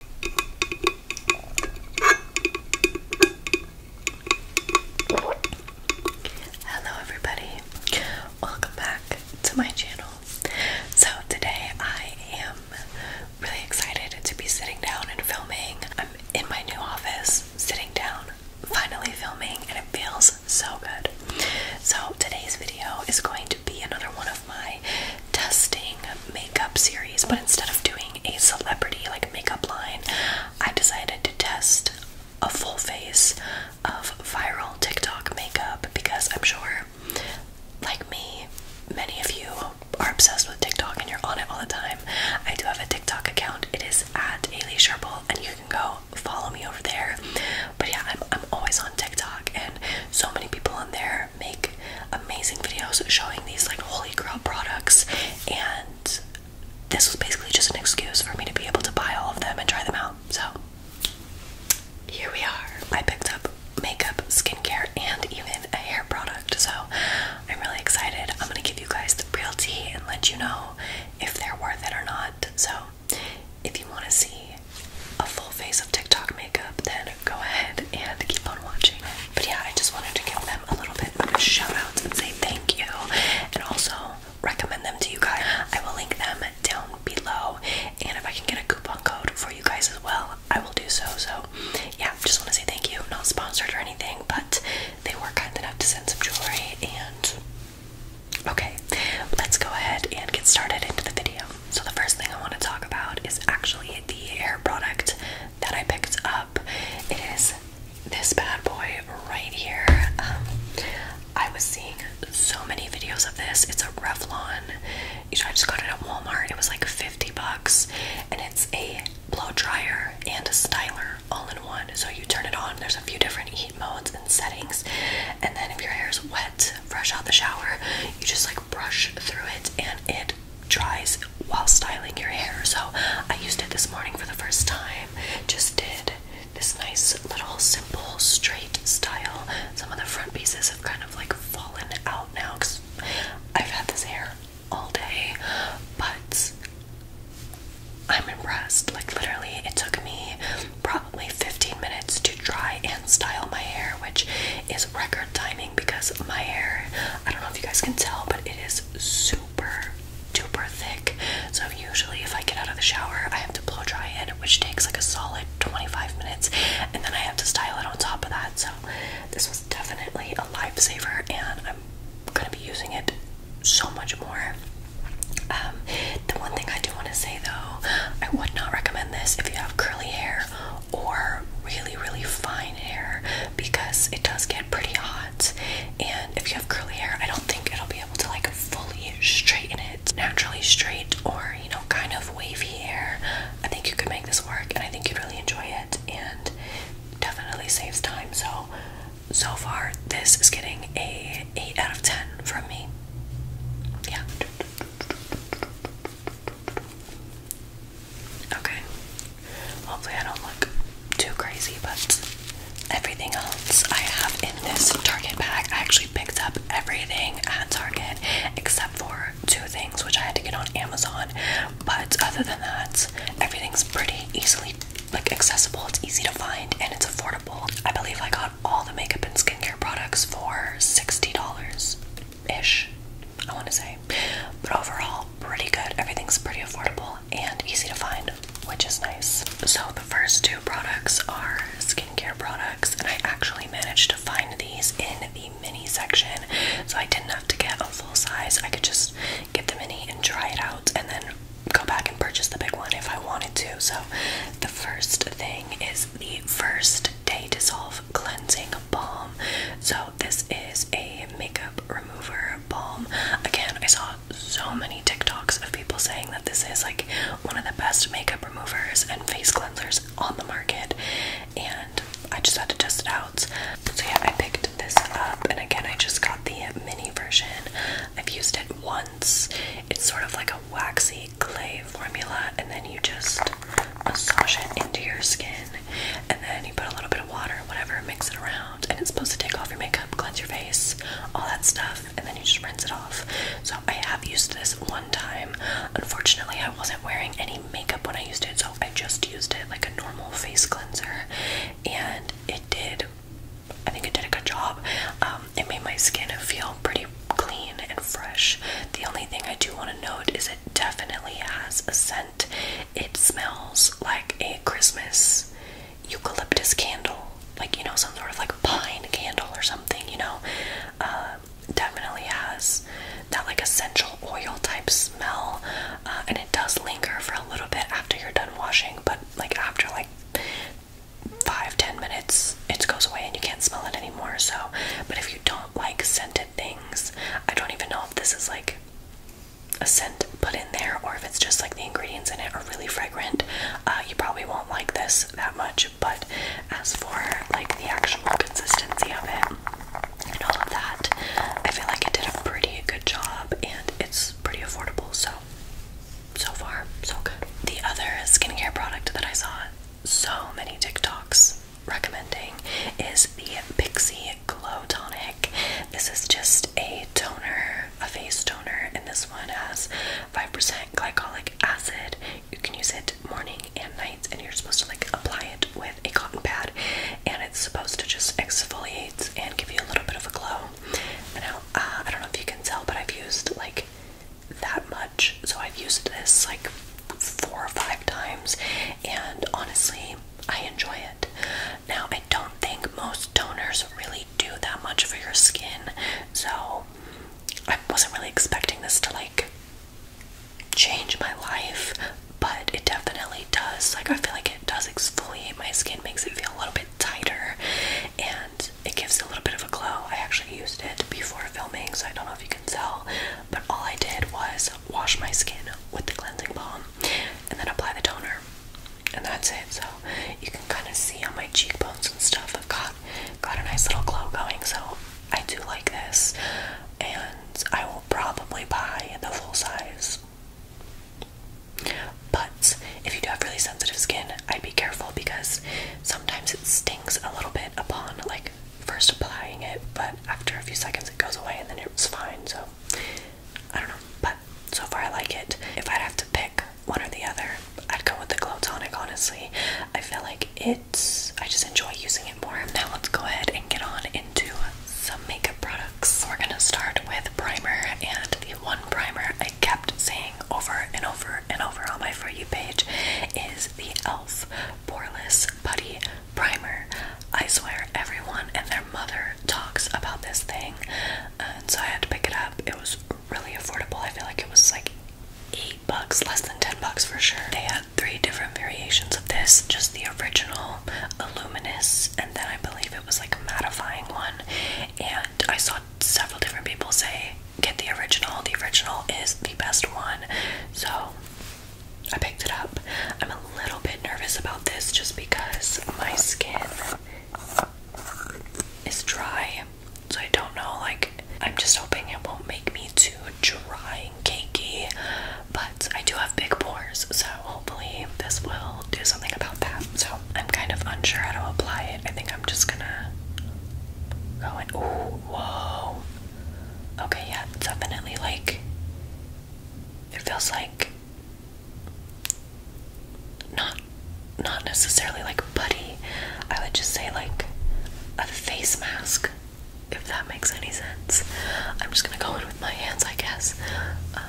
Hello, everybody, welcome back to my channel. So, today I am really excited to be sitting down and filming. I'm in my new office, sitting down, finally filming, and it feels so good. So, today's video is going to be another one of my testing makeup series, but instead of doing a celebrity like makeup line, I decided to test a full face of viral TikTok makeup because I'm sure, like me, many of you are obsessed with TikTok and you're on it all the time. I do have a TikTok account. It is at Ailey Sherble, and you can go follow me over there. But yeah, I'm I'm always on TikTok, and so many people on there make amazing videos showing these like holy grail products and this was basically just an excuse for me to be able to buy all of them and try them out. So here we are. I picked up makeup, skincare, and even a hair product. So I'm really excited. I'm gonna give you guys the real tea and let you know if they're worth it or not. So if you want to see a full face of TikTok makeup, then go ahead and keep on watching. But yeah, I just wanted to give them a little bit of a shout out and say thank you, and also recommend them to you guys. I will link them down below, and if I can get a coupon code for you guys as well, I will do so. So yeah, just want to say thank you. Not sponsored or anything, but they were kind enough to send some jewelry and. Okay, let's go ahead and get started into the video. So, the first thing I want to talk about is actually the hair product that I picked up. It is this bad boy right here. Um, I was seeing so many videos of this. It's a Revlon. I just got it at Walmart. It was like 50 bucks, and it's a blow dryer and a styler all in one. So, you turn it on, there's a few different heat modes and settings, and then if your hair is wet, fresh out the shower, you just like brush through it and it dries while styling your hair. So I used it this morning for the first time. Just did this nice little simple straight style. Some of the front pieces have kind of like fallen out now because I've had this hair all day, but I'm impressed. Like, literally, it took me probably 15 minutes to dry and style my hair, which is record timing because my hair, I don't know if you guys can tell, but it is super duper thick. So usually if I get out of the shower, I have to blow dry it, which takes like a solid 25 minutes, and then I have to style it on top of that. So this was definitely a lifesaver and I'm gonna be using it so much more. Um, the one thing I do want to say though, I would not recommend this if you have curly hair or really, really fine hair because it does get pretty hot. And if you have curly hair, I don't think it'll be able to like fully straighten it naturally straight or you know, kind of wavy hair. I think you could make this work and I think you'd really enjoy it and definitely saves time. So, so far, this is getting a 8 out of 10 from me. Yeah. Okay. Hopefully, I don't look too crazy, but everything else I have in this Target bag, I actually picked up everything at Target except for two things, which I had to get on Amazon. But other than that, everything's pretty easily like accessible. It's easy to find and it's affordable. I believe I got all the makeup and skincare products for sixty dollars ish, I want to say. But overall, pretty good. Everything's pretty affordable and easy to find, which is nice. So, the first two products are skincare products, and I actually managed to find these in the mini section. So, I didn't have to get a full size, I could just get the mini and try it out and then go back and purchase the big one if I wanted to. So, the first thing is the first day dissolve Cleansing Balm. So this is a makeup remover balm. Again, I saw so many TikToks of people saying that this is like one of the best makeup removers and face cleansers on the market, and I just had to test it out. So yeah, I picked this up, and again, I just got the mini version. I've used it once. It's sort of like a waxy clay formula and then you just massage it into your skin and then you put a little bit of water whatever mix it around and it's supposed to take off your makeup cleanse your face all that stuff and then you just rinse it off so i have used this one time unfortunately i wasn't wearing any makeup when i used it so i just used it like a normal face cleanser and it did I think it did a good job. Um, it made my skin feel pretty clean and fresh. The only thing I do want to note is definitely has a scent. It smells like a Christmas eucalyptus candle, like you know, some sort of like pine candle or something, you know. Uh, definitely has that like essential oil type smell, uh, and it does linger for a little bit after you're done washing, but like after like five ten minutes it goes away and you can't smell it anymore. So, but if you don't like scented things, I don't even know if this is like a scent put in there or if it's just like the ingredients in it are really fragrant. Uh, you probably won't like this that much, but as for like the actual consistency of it and all of that, I feel like it did a pretty good job and it's pretty affordable. So, so far, so good. The other skincare product that I saw so many TikToks recommending is the Pixie Glow Tonic. This is just a toner, a face toner, and this one has 5% glycolic acid. You can use it morning and nights, and you're supposed to like apply it with a cotton pad, and it's supposed to just exfoliate and give you a little bit of a glow. now, uh, I don't know if you can tell, but I've used like that much, so I've used this like four or five times, and honestly, I enjoy it. Now, I don't think most toners really do that much for your skin, so I wasn't really expecting this to like change my life, but it definitely does. Like, I feel like it does exfoliate my skin, makes it feel a little bit tighter, and it gives a little bit of a glow. I actually used it before filming, so I don't know if you can sell, but all I did was wash my skin with the cleansing balm and then apply the toner, and that's it. So you can kind of see on my cheekbones and stuff, I've got got a nice little glow going. So I do like this, and I will probably buy the full size. But if you do have really sensitive skin, I'd be careful because sometimes it stings a little bit upon like first applying it, but after a few seconds it goes away and then it was fine. So I don't know, but so far I like it. If I'd have to pick one or the other, I'd go with the Glow Tonic, honestly. I feel like it's, I just enjoy using it more. Now let's go ahead and get on into some makeup products. We're gonna start with primer, and the one primer I kept saying over and over and over on my For You page is the e.l.f. Poreless Putty Primer. I swear everyone and their mother talks about this thing, and so I had to pick it up. It was really affordable. I feel like it was like eight bucks, less than ten bucks for sure. They had three different variations of this, just the original, illuminous, and then I believe it was like a mattifying one. And I saw several different people say get the original. The original is the best one. So I picked it up. I'm a little bit nervous about this just because my skin is dry. So I don't know, like, I'm just hoping it won't make me too dry and cakey. But I do have big pores, so hopefully this will do something about that. So I'm kind of unsure how to apply it. I think I'm just gonna go in. Ooh, whoa. Okay, yeah, definitely like it feels like not not necessarily like putty. I would just say like a face mask, if that makes any sense. I'm just gonna go in with my hands, I guess. Um,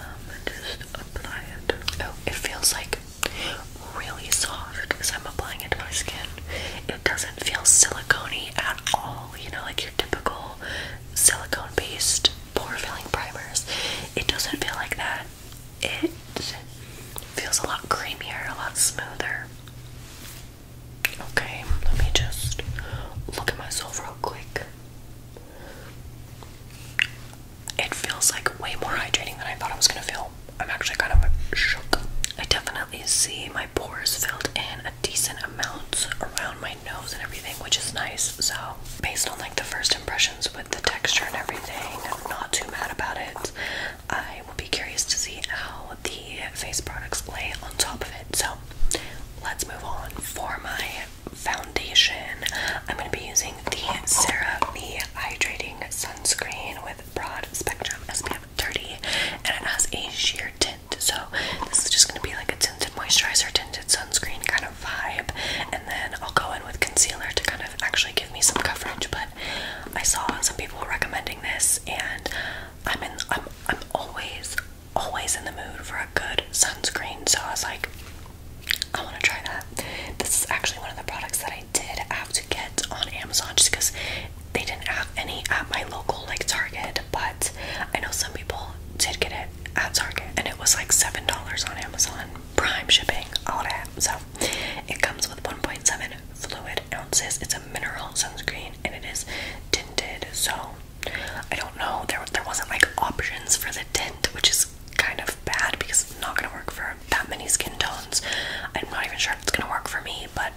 just apply it. Oh, it feels like really soft because I'm applying it to my skin. It doesn't feel silicone at all, you know, like your typical silicone-based pore-filling primers. It doesn't feel like that. It feels a lot creamier, a lot smoother. Okay, let me just look at myself real quick. It feels like way more hydrating than I thought I was gonna feel. I'm actually kind of shook. I definitely see my pores filled in a decent amount around my nose and everything, which is nice. So based on like the first impressions with the texture and everything, not too mad about it. I will be curious to see how the face products lay on top of it. So let's move on for my foundation. I'm going to be using the Sarah Me Hydrating Sunscreen with Broad Spectrum SPF dirty and it has a sheer tint. So this is just gonna be like a tinted moisturizer, tinted sunscreen kind of vibe. And then I'll go in with concealer to kind of actually give me some coverage. But I saw some people recommending this and I'm in I'm I'm always always in the mood for a good sunscreen. So I was like I want to try that. This is actually one of the products that I did have to get on Amazon just because they didn't have any at my local like Target, but I know some people did get it at Target and it was like $7 on Amazon, prime shipping, all that. So it comes with 1.7 fluid ounces. It's a mineral sunscreen and it is tinted. So I don't know, there, there wasn't like options for the tint, which is kind of bad because it's not going to work for that many skin tones. I'm not even sure if it's going to work for me, but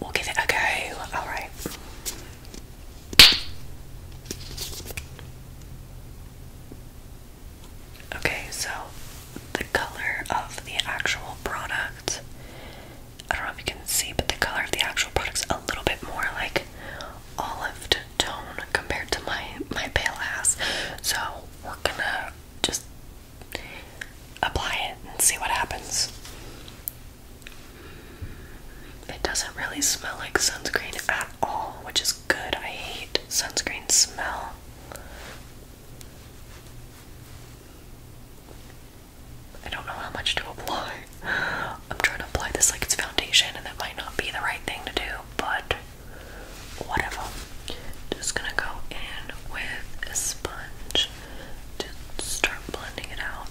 we'll give it a go. Alright. Okay, so the color of the actual product, I don't know if you can see, but the color of the actual product's a little bit more like olive tone compared to my my pale ass. So we're gonna just apply it and see what happens. It doesn't really smell like sunscreen at all, which is good. I hate sunscreen smell. I don't know how much to apply. I'm trying to apply this like it's foundation, and that might not be the right thing to do, but whatever. Just gonna go in with a sponge to start blending it out.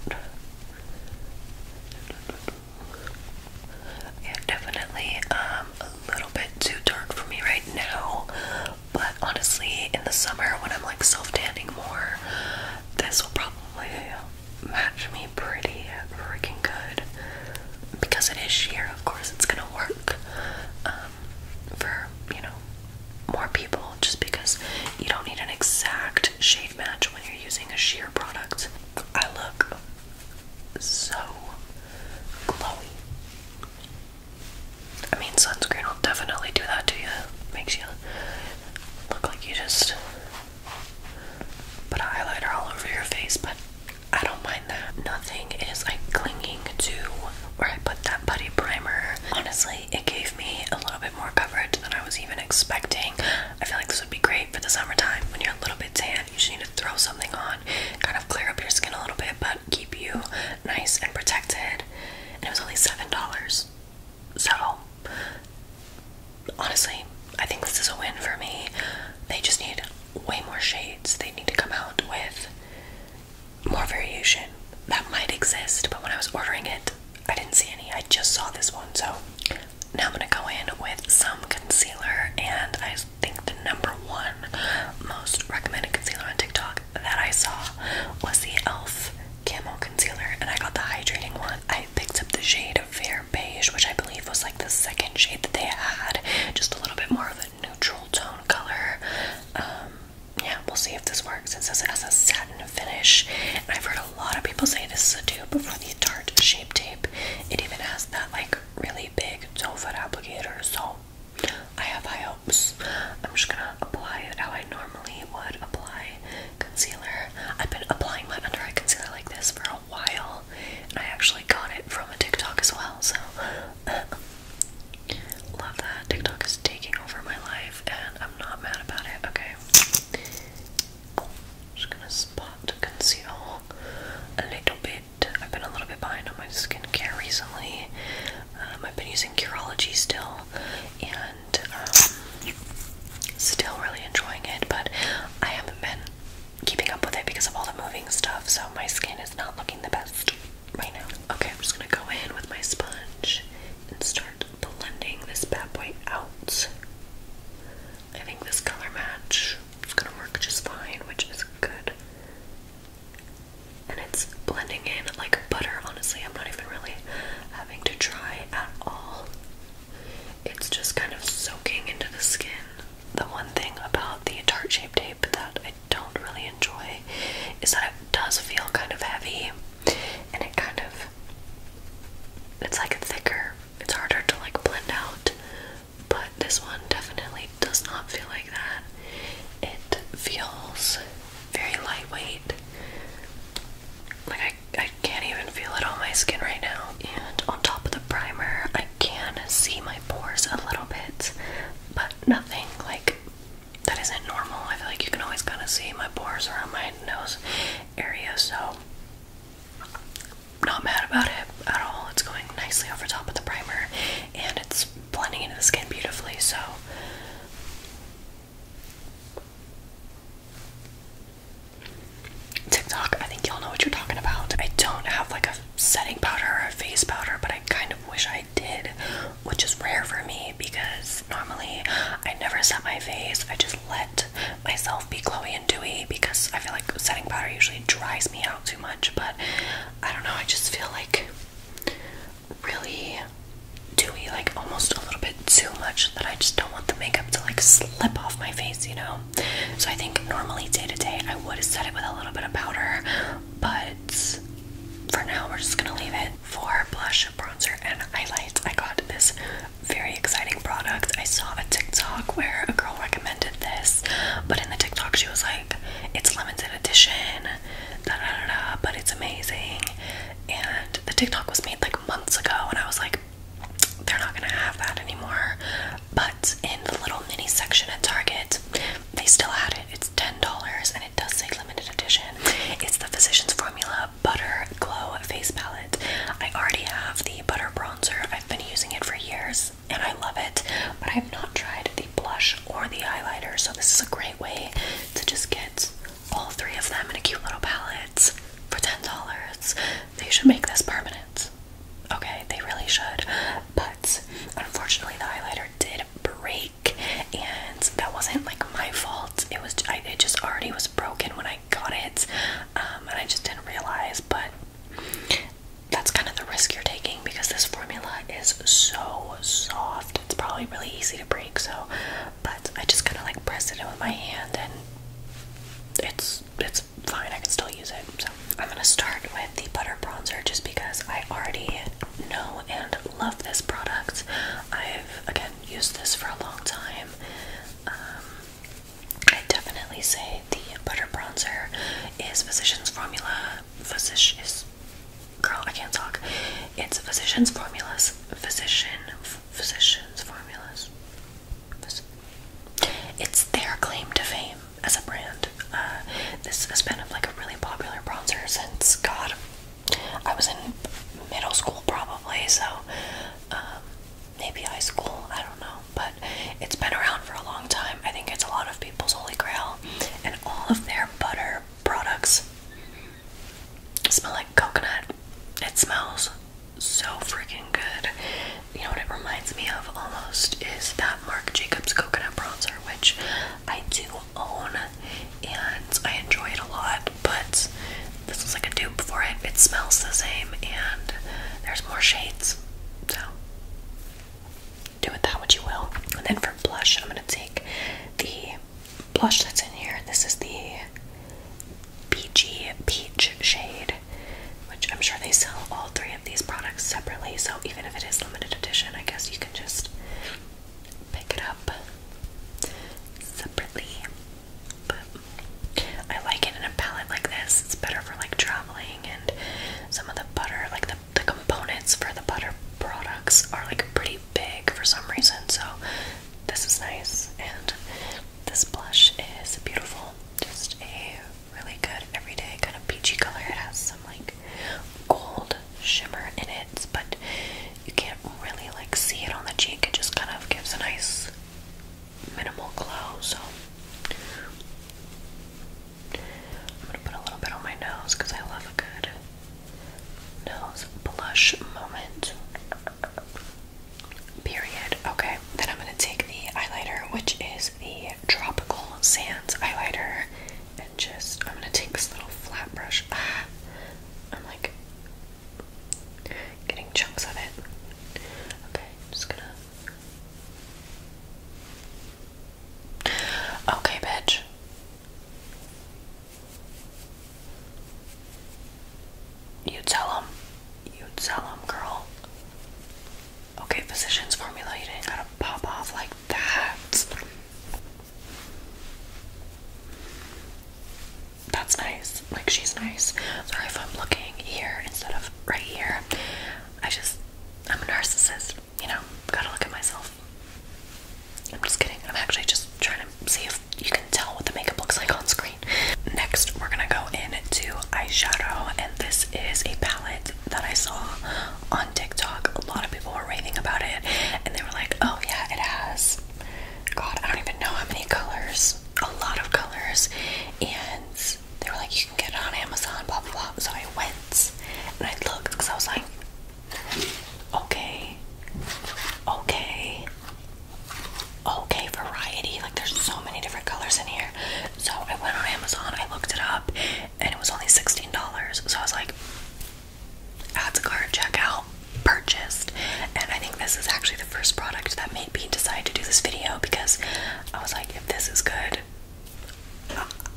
Yeah, definitely um, a little bit too dark for me right now, but honestly, in the summer when I'm like self tanning more, this will probably match me pretty freaking good because it is sheer, of course, it's gonna work. Um, for you know more people just because you don't need an exact shade match when you're using a sheer product. I look so glowy. I mean, sunscreen will definitely do that to you. Makes you look like you just put a highlighter all over your face, but I don't mind that. Nothing is like clinging to where I put that putty primer. Honestly, it gave me a little bit more coverage than I was even expecting. I feel like this would be great for the summertime when you're a little bit tan. You just need to throw something on, kind of clear up your skin a little bit, but keep you nice and protected. And it was only $7. So, honestly, I think this is a win for me. They just need way more shades. They need to come out with more variation that might exist, but when I was ordering it, I didn't see any. I just saw this one, so now I'm gonna go in with some concealer, and I think the number one most recommended concealer on TikTok that I saw was the e.l.f. Camel Concealer, and I got the hydrating one. I picked up the shade Fair Beige, which I believe was like the second shade that they had, just a little bit more of it neutral tone color. Um, yeah, we'll see if this works. It says it has a satin finish, I've heard a lot of people say this is a dupe for the Tarte Shape Tape. It even has that like really big toe foot applicator, so I have high hopes. I'm just gonna apply it how I normally would apply concealer. I've been applying my under eye concealer like this for a while, I actually got it from a TikTok as well, so Love that. TikTok is taking over my life and I'm not mad about it. Okay. Just gonna spot conceal a little bit. I've been a little bit behind on my skincare recently. Um, I've been using Curology still and um, still really enjoying it, but I haven't been keeping up with it because of all the moving stuff, so my skin is not looking the best right now. Okay, I'm just gonna go in with my sponge and start blending this bad boy out. I think this color match is gonna work just fine, which is good. And it's blending in like butter, honestly. I'm not even really having to try at all. It's just kind of soaking into the skin. The one thing about the tart shape tape that I don't really enjoy is that it does feel kind of heavy and it kind of it's like thicker. It's harder to like blend out. But this one definitely does not feel like that. It feels very lightweight. Like I, I can't even feel it on my skin right now. And on top of the primer, I can see my pores a little bit, but nothing like that isn't normal. I feel like you can always kind of see my pores around my nose area, so not mad about it at all. It's going nicely over top of the primer and it's blending into the skin beautifully, so TikTok, I think y'all know what you're talking about. I don't have like a setting powder or a face powder, but I kind of wish I did, which is rare for me because normally I never set my face. I just let myself be glowy and dewy because I feel like setting powder usually dries me out too much. But I don't know, I just feel like really dewy, like almost a little bit too much that I just don't want the makeup to like slip off my face, you know? So I think normally day to day I would have set it with a little bit of powder, but for now we're just gonna leave it. For blush, bronzer, and highlight. I got this very exciting product. I saw a TikTok where a girl recommended this, but in the TikTok she was like, it's limited edition, da da da da, but it's amazing. And the TikTok was made like months ago, and I was like, they're not gonna have that anymore. But in the little mini section at Target, they still had it. It's ten dollars, and it does say limited edition. It's the Physicians Formula Butter Glow Face Palette. I already have the butter bronzer. I've been using it for years, and I love it. But I've not tried the blush or the highlighter, so this is a great way to just get all three of them in a cute little palette for ten dollars. They should make this permanent. Okay, they really should. But unfortunately, the highlighter did break, and that wasn't like my fault. It was I, it just already was broken when I got it, um, and I just didn't realize. But that's kind of the risk you're taking because this formula is so soft. It's probably really easy to break. So, but I just kind of like press it in with my hand, and it's it's fine. I can still use it. So I'm gonna start with the butter bronzer just because I already know and love this product. I've again used this for a long time. Um, I definitely say the butter bronzer is Physicians Formula. Physicians, girl, I can't talk. It's Physicians Formulas. Physician, Physicians Formulas. It's their claim to fame as a brand. Uh, this has been like a really popular bronzer since God, I was in middle school probably, so um, maybe high school. I don't know, but it's been around for a long time. I think it's a lot of people's holy grail, and all of their butter products smell like coconut. It smells so freaking good. You know what it reminds me of almost is that Marc Jacobs coconut bronzer which I do own and I enjoy it a lot, but this is like a dupe for it. It smells the same and there's more shades. So do it that what you will. And then for blush, I'm gonna take the blush that's in here. This is the peachy peach shade, which I'm sure they sell all three of these products separately. So even if it is limited edition. I guess you can just pick it up separately. But I like it in a palette like this. It's better for like traveling and some of the butter, like the, the components for the butter products are like pretty big for some reason. So this is nice and this blush is beautiful. Just a really good everyday kind of peachy color. It has some like gold shimmer in it, but you can't really like see it on the cheek. It just kind of gives a nice minimal glow. So I'm gonna put a little bit on my nose because I love a good nose blush moment. Period. Okay, then I'm gonna take the eyeliner, which is the tropical sands highlighter and just I'm gonna take this little flat brush. I'm like getting chunks of it. Okay, just gonna. Okay, bitch. You tell him. You tell him, girl. Okay, physicians formula, you didn't gotta pop off like that. That's nice. Like, she's nice. Sorry if I'm looking here instead of right here. I just, I'm a narcissist, you know? Gotta look at myself. I'm just kidding. I'm actually just trying to see if you can tell what the makeup looks like on screen. Next, we're gonna go into eyeshadow, and this is a palette that I saw on TikTok. A lot of people were raving about it and they were like, oh yeah, it has. God, I don't even know how many colors. A lot of colors. And they were like, you can get it on Amazon, blah blah blah. So I went and I looked because I was like, okay, okay, okay, variety. Like there's so many different colors in here. So I went on Amazon, I looked it up, and it was only $16. So I was like, add to cart, out, purchased. And I think this is actually the first product that made me decide to do this video because I was like, if this is good,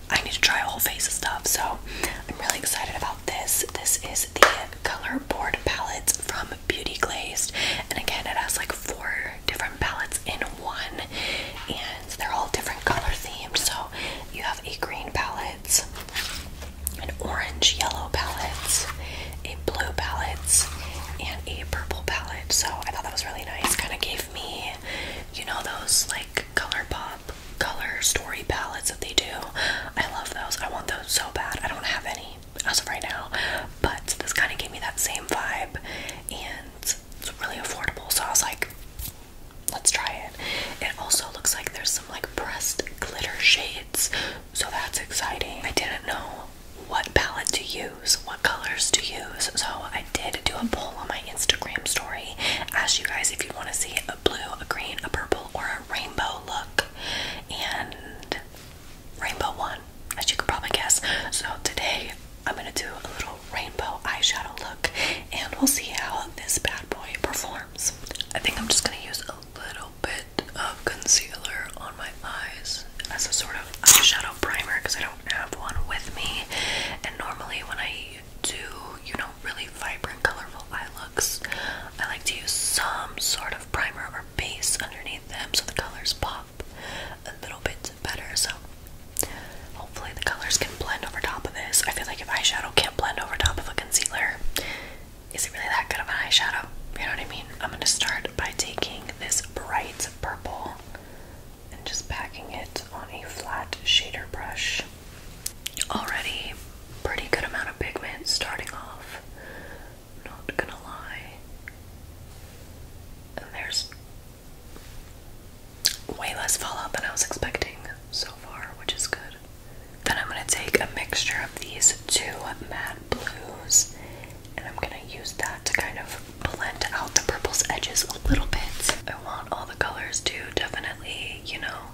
I need to try a whole face of stuff. So I'm really excited about this. This is the color board palettes from Beauty Glazed. And again, it has like four different palettes in one. They're all different color themed. So you have a green palette, an orange yellow palette, a blue palette, and a purple palette. So I thought that was really nice. Kind of gave me, you know, those like color pop, color story palettes that they do. I love those. I want those so bad. I don't have any as of right now, but this kind of gave me that same vibe. And it's, really affordable. So I was like, let's try it. It also looks like there's some like pressed glitter shades. So that's exciting. I didn't know what palette to use, what colors to use. So I did do a poll on my Instagram story. Asked you guys if you want to see a blue, a green, a purple, or a rainbow look. And rainbow one, as you could probably guess. So today I'm gonna do a little rainbow eyeshadow look and we'll see how this bad boy performs. I think I'm just gonna use a little bit of concealer on my eyes as a sort of eyeshadow primer because I don't have one with me. And normally when I do, you know, really vibrant, colorful eye looks, I like to use some sort of primer or base underneath them so the colors pop a little bit better. So hopefully the colors can blend over top of this. I feel like if eyeshadow can't blend over top of a concealer, is it really that good of an eyeshadow? You know what I mean? I'm gonna start by taking this bright purple and just packing it on a flat shader brush. Already pretty good amount of pigment starting off. Not gonna lie. And there's way less fallout than I was expecting so far, which is good. Then I'm going to take a mixture of these two matte blues and I'm going to use that to kind of blend out the purple's edges a little bit. I want all the colors to definitely, you know,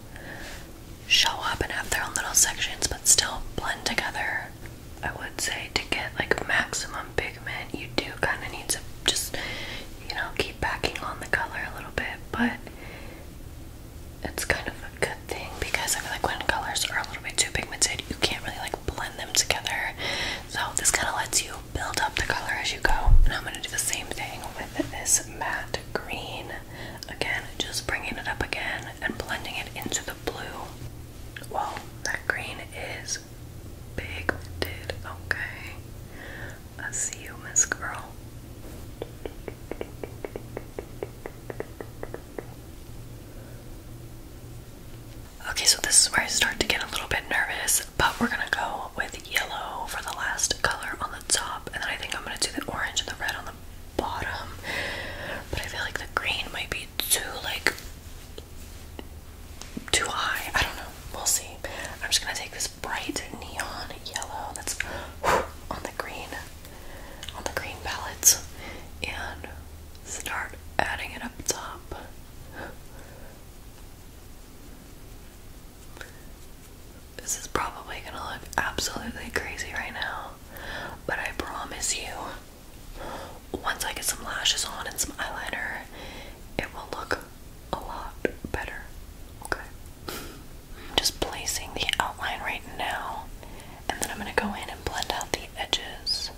show up and have their own little sections but still blend together. I would say to get like maximum you do kind of need to just, you know, keep backing on the color a little bit, but it's kind of a good thing because I feel like when colors are a little bit too pigmented, you can't really like blend them together. So this kind of lets you build up the color as you go. And I'm going to do the same thing with this matte green. Again, just bringing it up again and blending it into the blue. Whoa, that green is is pigmented. Okay. I see you, Miss Girl. Okay, so this is where I start to get a little bit nervous, but we're gonna go with yellow for the last color on the top, and then I think I'm gonna do the orange and the red on the bottom. But I feel like the green might be too like too high. I don't know. We'll see. I'm just gonna take this bright neon yellow that's on the green, on the green palettes, and start adding it up top. This is probably gonna look absolutely crazy right now, but I promise you, once I get some lashes on and some eyeliner, it will look a lot better. Okay. I'm just placing the outline right now, and then I'm going to go in and blend out the edges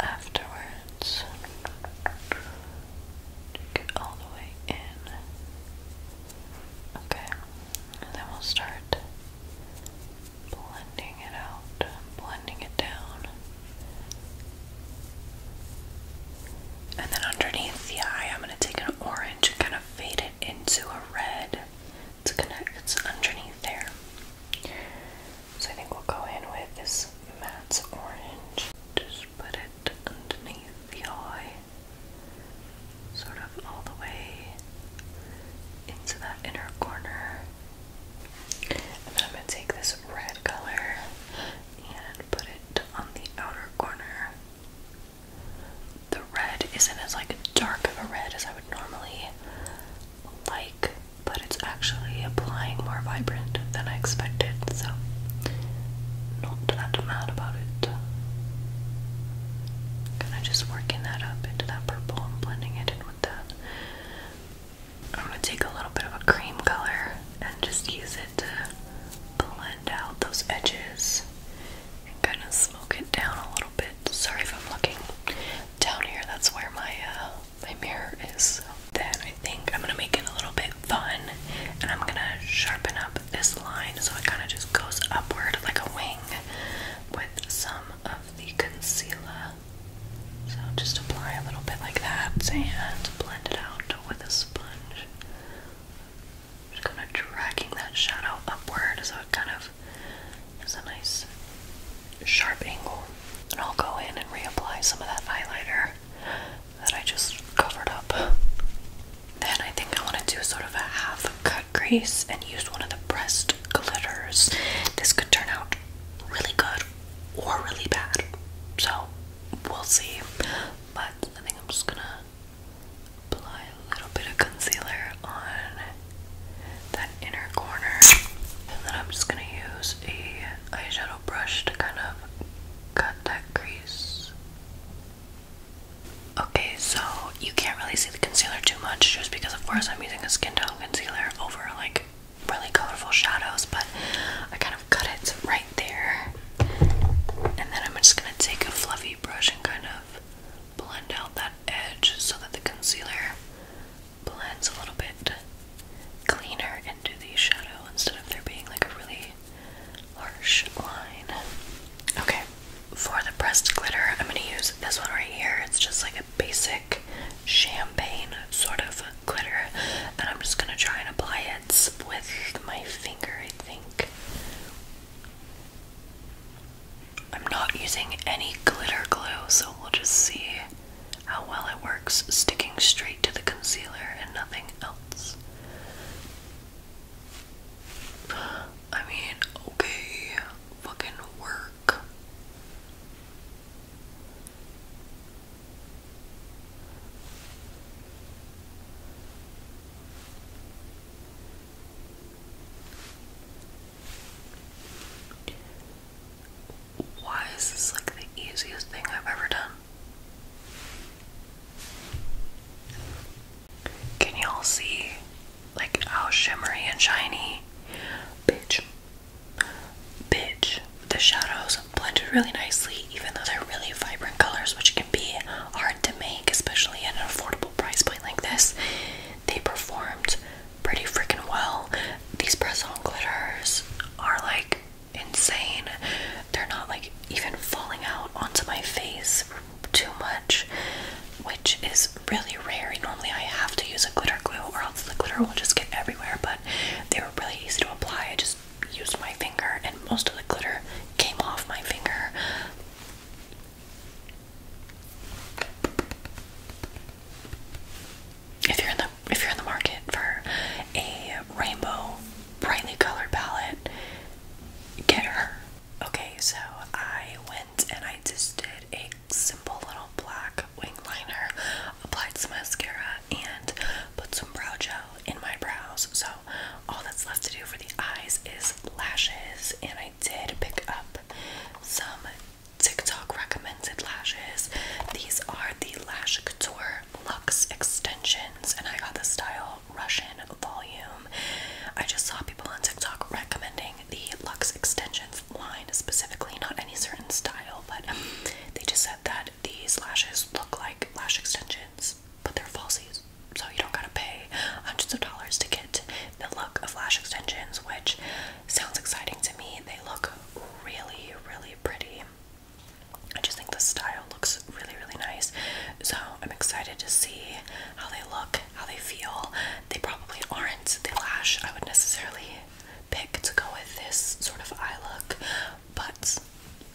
afterwards. Get all the way in. Okay, and then we'll start blending it out, blending it down. And then underneath the eye, I'm going to take an orange and kind of fade it into a red to connect. It's underneath there. So I think we'll go in with this matte orange. Just put it underneath the eye, sort of all the way into that inner corner. I'm going to take this red color and put it on the outer corner. The red isn't as like dark of a red as I would normally like, but it's actually applying more vibrant than I expected, so not that mad about it. Kind of just working that up into that purple and blending it in with that. I'm going to take a little bit of a cream color and just use it to blend out those edges and kind of smoke it down a little bit. Sorry if I'm looking down here, that's where my, uh, my mirror is. Then I think I'm going to make it a little bit fun and I'm going to sharpen up this line so it kind of just goes upward like a wing with some of the concealer so just apply a little bit like that and blend it out with a sponge. Just kind of dragging that shadow upward so it kind of has a nice sharp angle. And I'll go in and reapply some of that highlighter that I just covered up. Then I think I want to do sort of a half cut crease and use one of the pressed glitters. This could turn out really good or really bad. So we'll see. But I think I'm just gonna apply a little bit of concealer on that inner corner. And then I'm just gonna use a eyeshadow brush to kind of cut that crease. Okay, so you can't really see the concealer too much just because of course I'm using a skin tone concealer over like really colorful shadows, but I kind of cut it right there. And then I'm just gonna take a fluffy brush and kind of blend out that edge so that the concealer blends a little bit cleaner into the shadow instead of there being like a really harsh line. Okay, for the pressed glitter, I'm gonna use this one right here. It's just like a basic champagne sort of glitter, and I'm just gonna try and apply it with my finger, I think. I'm not using any glitter glue, so we'll just see how well it works sticking straight to the concealer and nothing else. I mean, okay, fucking work. Why is this like the easiest thing I've ever done? Can y'all see like how shimmery and shiny? Bitch, Bitch. The shadows blended really nicely, even though they're really vibrant colors, which can be hard to make, especially at an affordable price point like this. They performed pretty freaking well. These press on glitters are like insane. They're not like even falling out onto my face too much, which is really rare. Normally I have to use a glitter glue or else the glitter will just get everywhere, but they were really easy to apply. I just used my finger and most of the glitter came off my finger. If you're in the if you're in the market for a rainbow brightly colored palette, get her. Okay, so I went and I just did a simple little black wing liner, applied some mascara, and put some brow gel in my brows. So all that's left to do for the eyes is lashes, and I did pick up some TikTok recommended lashes. These are the Lash Couture Lux Extensions, and I got the style Russian Volume. I just saw people on TikTok recommending the Lux Extensions line specifically, not any certain style, but they just said that these lashes look like lash extensions, but they're falsies, so you don't gotta pay hundreds of dollars to get the look of lash extensions, which sounds exciting to me. They look really, really pretty. I just think the style looks really, really nice. So I'm excited to see how they look, how they feel. They probably aren't the lash I would necessarily pick to go with this sort of eye look, but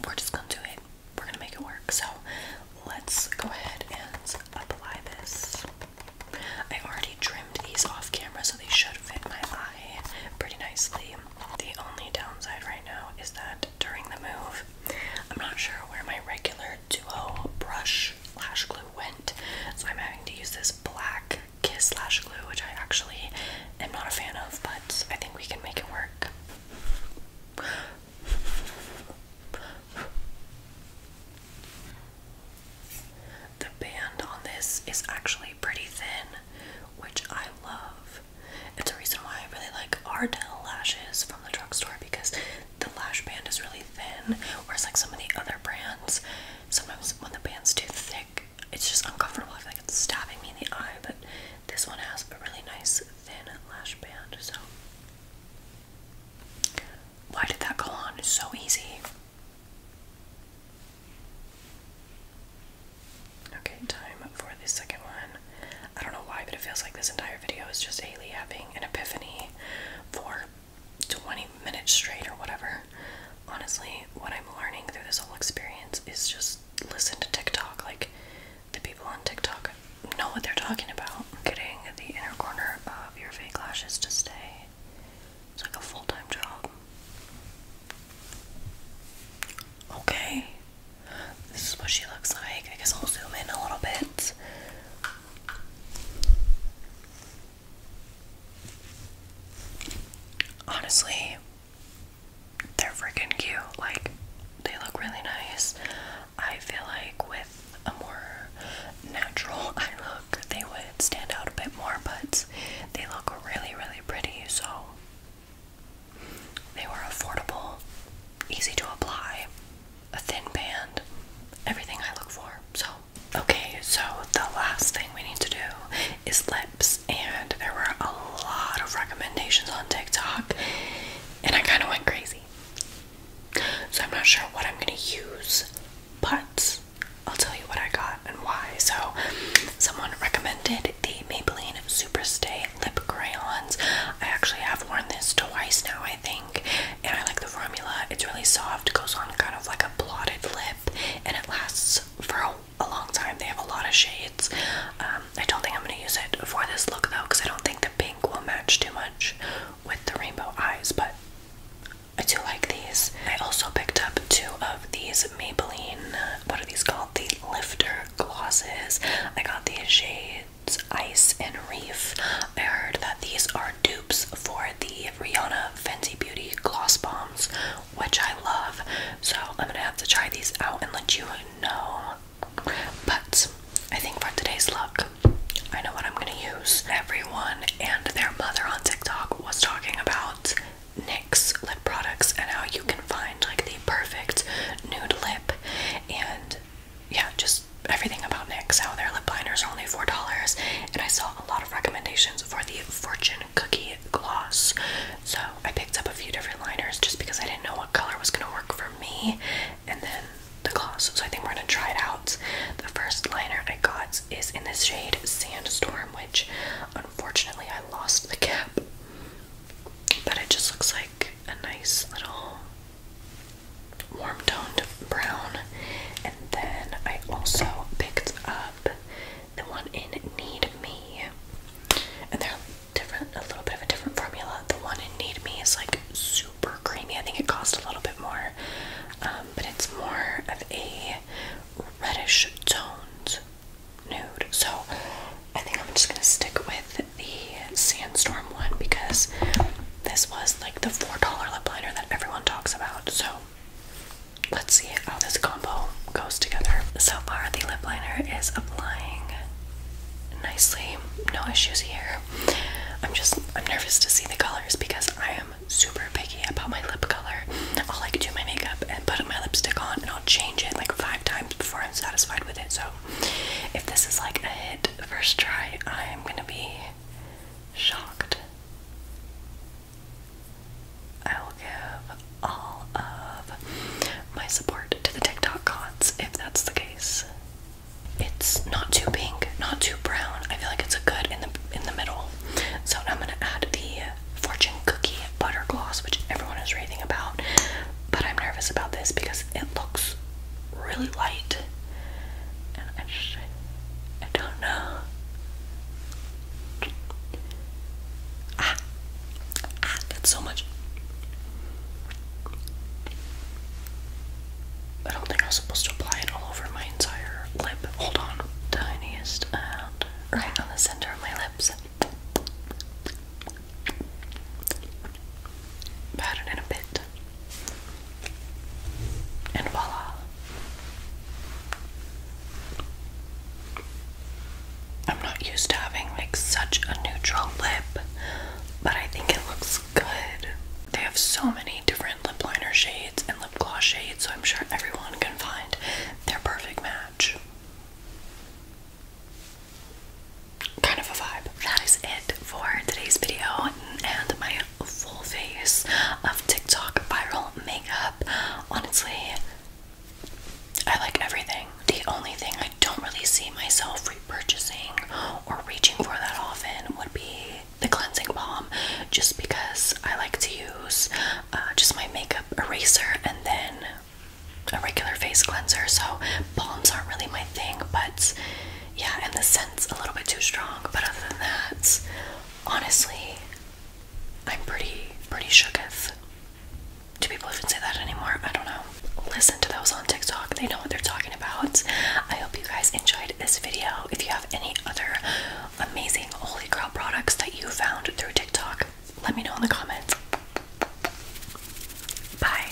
we're just gonna do it. We're gonna make it work. So let's go ahead and apply this. I already trimmed these off camera, so they should fit my eye pretty nicely. The only downside right now is that during the move, I'm not sure where my regular duo brush lash glue went, so I'm having to use this black kiss lash glue, which I actually am not a fan of, but I think we can make it work. The band on this is actually pretty thin, which I love. It's a reason why I really like Ardell lashes from the drugstore because the lash band is really thin, whereas like some of the other brands sometimes when the band's too thick, it's just uncomfortable. I feel like it's stabbing me in the eye, but this one has a really nice thin lash band, so why did that go on? so easy. Okay, time for the second one. I don't know why, but it feels like this entire video is just Haley having an epiphany for 20 minutes straight or whatever. Honestly, what I'm learning through this whole experience is just listen to TikTok. Like, the people on TikTok know what they're talking about. Getting the inner corner of your fake lashes to stay. It's like a full time job. Okay. This is what she looks like. I guess I'll zoom in a little bit. Honestly, they're freaking cute. Like, they look really nice. I feel like with a more natural eye look, they would stand out a bit more, but they look really, really pretty. So, they were affordable, easy to apply, a thin band, everything I look for. So, okay, so the last thing we need to do is lips, and there were a lot of recommendations on TikTok, and I kind of went crazy. So I'm not sure what I'm gonna use, but I'll tell you what I got and why. So, someone recommended the Maybelline Superstay lip crayons. I actually have worn this twice now, I think, and I like the formula. It's really soft, goes on kind of like a blotted lip and it lasts for a, long time. They have a lot of shades. Um, I don't think I'm going to use it for this look though because I don't think the pink will match too much with the rainbow eyes, but I do like these. I also picked up two of these Maybelline, uh, what are these called? The Lifter Glosses. I got these shades Ice and Reef. I heard that these are due for the Rihanna Fenty Beauty gloss bombs, which I love. So I'm gonna have to try these out and let you know. But I think for today's look, I know what I'm gonna use. Everyone and their mother on TikTok was talking about NYX lip products and how you can find like the perfect nude lip and yeah, just everything about NYX, how their lip liners are only $4. And I saw a lot of recommendations for the Fortune Cookie Gloss. So I picked up a few different liners just because I didn't know what color was going to work for me. And then the gloss. So I think we're going to try it out. The first liner I got is in this shade Sandstorm, which unfortunately I lost the cap. But it just looks like a nice little warm toned brown. And then I also picked up the one in Need Me. And they're different, a little bit of a different formula. The one in Need Me is like super creamy. I think it costs a little bit more. Um, but it's more of a reddish toned nude. So I think I'm just gonna stick with the Sandstorm one because this was like the $4 lip liner that everyone talks about. So let's see how this combo goes together. So far, the lip liner is applying nicely, no issues here. I'm just I'm nervous to see the colors because I am super picky about my lip color. I'll like do my makeup and put my lipstick on and I'll change it like five times before I'm satisfied with it. So if this is like a hit first try, I'm gonna be shocked. I will give all of my support to the TikTok gods if that's the case. It's not too pink, not too brown. I feel like it's a good in the in the middle. So now I'm gonna add the fortune cookie butter gloss, which everyone is raving about. But I'm nervous about this because it looks really light, and I I don't know. Ah, ah, that's so much. I don't think I was supposed to apply it all over my entire lip. Hold on. Tiniest and right on the center of my lips. Pat it in a bit. And voila. I'm not used to having like such a neutral lip, but I think it looks good. They have so many different lip liner shades and lip gloss shades, so I'm sure everyone can find their perfect match. Kind of a vibe. That is it for today's video and my full face of TikTok viral makeup. Honestly, I like everything. The only thing I don't really see myself repurchasing or reaching for that often would be the cleansing balm, just because I like to use uh, just my makeup eraser and then a regular face cleanser. So, balms aren't really my thing, but yeah, and the scent's a little bit too strong, but other than that, honestly, I'm pretty, pretty shooketh. Do people even say that anymore? I don't know. Listen to those on TikTok, they know what they're talking about. I hope you guys enjoyed this video. If you have any other amazing holy grail products that you found through TikTok, let me know in the comments. Bye.